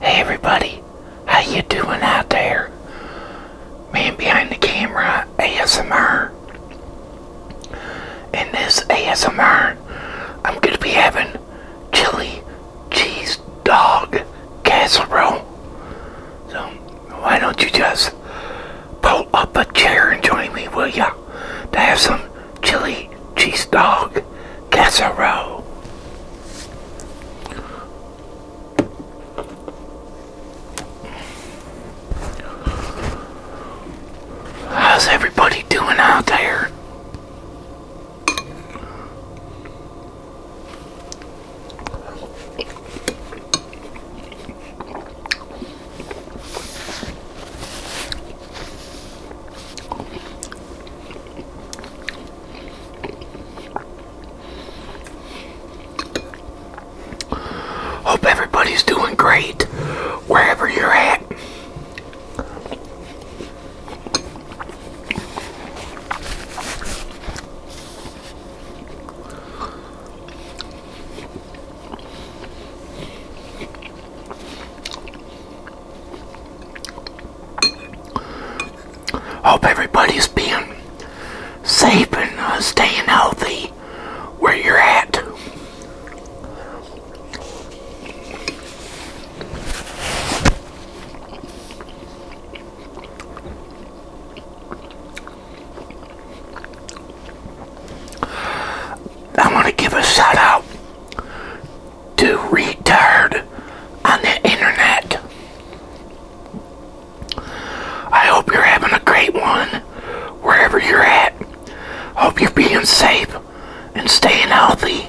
Hey everybody, how you doing out there? Man behind the camera, ASMR. In this ASMR, I'm going to be having chili cheese dog casserole. So, why don't you just pull up a chair and join me, will ya? To have some chili cheese dog casserole. How's everybody doing out there? Hope everybody's doing great wherever you're at. Hope everybody's being safe and uh, staying healthy where you're at. I want to give a shout out to Retard on the internet. I hope you're having a great one wherever you're at. Hope you're being safe and staying healthy.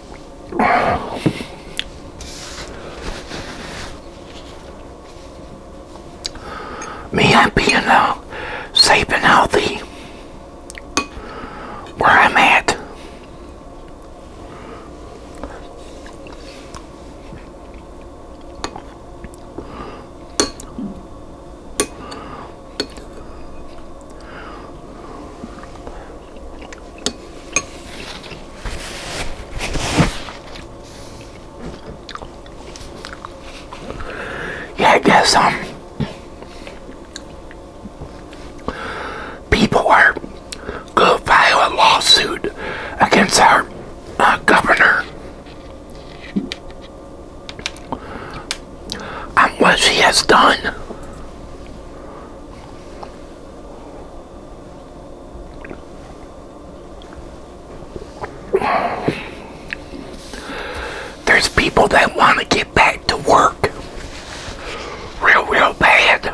Me, I'm being uh, safe and healthy where I'm at. Yeah, guess um people are gonna file a lawsuit against our uh, governor on what she has done. There's people that want to get back to work real, real bad.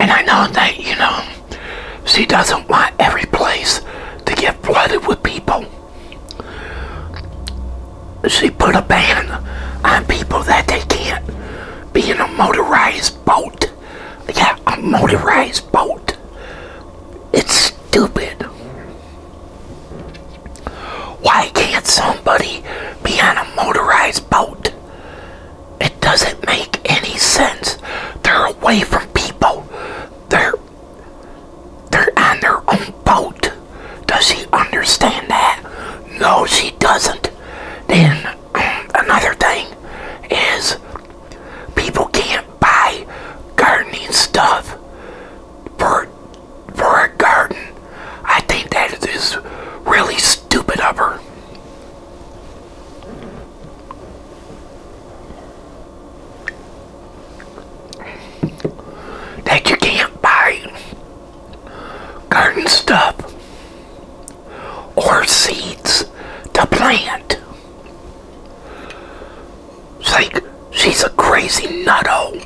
And I know that, you know, she doesn't want every place to get flooded with people. She put a ban on people that they can't be in a motorized boat. Yeah, a motorized boat. It's stupid. Why can't somebody be on a motorized boat? It doesn't make any sense. They're away from people. They're they're on their own boat. Does she understand that? No, she doesn't. Then um, another thing is people can't buy gardening stuff for, for a garden. I think that is really stupid of her. That you can't buy garden stuff or seeds to plant like she's a crazy nutto.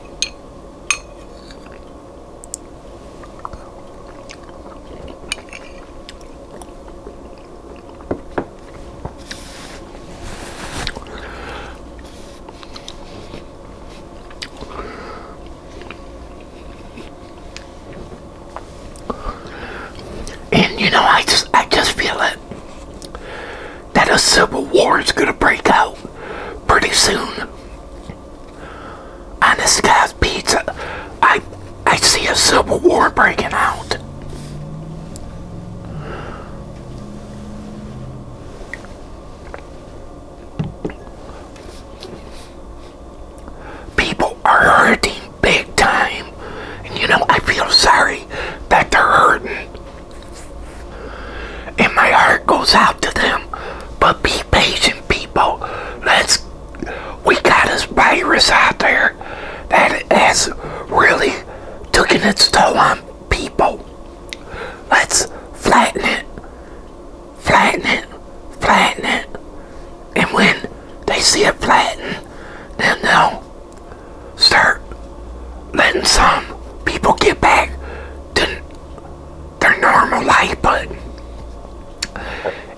And you know, I just I just feel it that a civil war is gonna break out pretty soon. On this guy's pizza, I I see a civil war breaking out are hurting big time. And you know, I feel sorry that they're hurting. And my heart goes out to them. But be patient, people. Let's, we got this virus out there that is really taking its toll on people. Let's flatten it, flatten it, flatten it and when they see it flatten, then they'll start letting some people get back to their normal life, but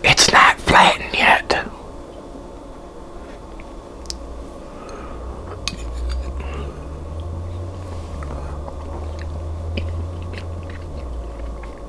it's not flattened yet.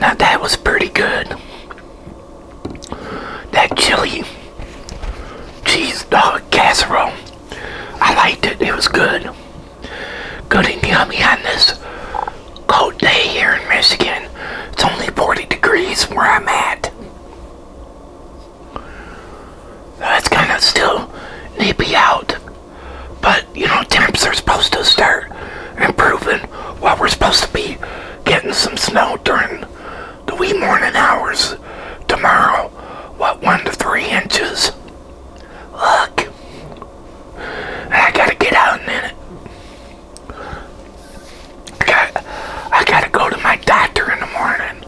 Now that was pretty good that chili cheese dog casserole. I liked it. It was good. Good and yummy on this cold day here in Michigan. It's only 40 degrees where I'm at. That's kind of still nippy out. But, you know, temps are supposed to start improving while we're supposed to be getting some snow during the wee morning hours tomorrow. What, one to three inches? Look. I gotta get out in it. I got, I gotta go to my doctor in the morning.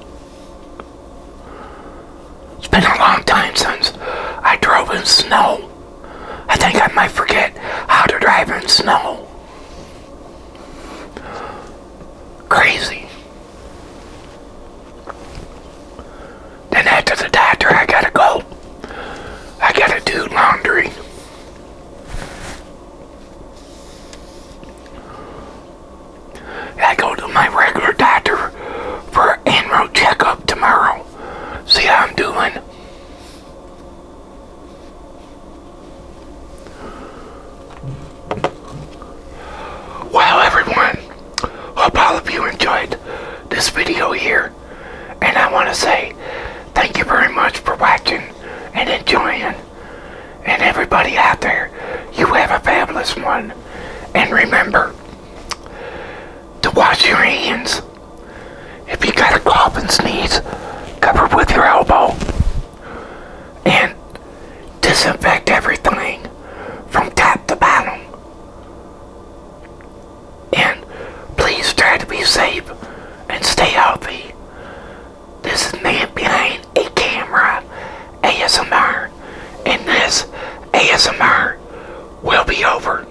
It's been a long time since I drove in snow. I think I might forget how to drive in snow. Crazy. Then after the doctor, I gotta go. I gotta do laundry. I go to my regular doctor for an annual checkup tomorrow. See how I'm doing. Well, everyone, I hope all of you enjoyed this video here. And I want to say thank you very much for watching and enjoying. And everybody out there, you have a fabulous one. And remember to wash your hands if you got a cough and sneeze, cover with your elbow. And disinfect everything from top to bottom. And please try to be safe and stay healthy. This is man behind a camera ASMR. And this ASMR will be over.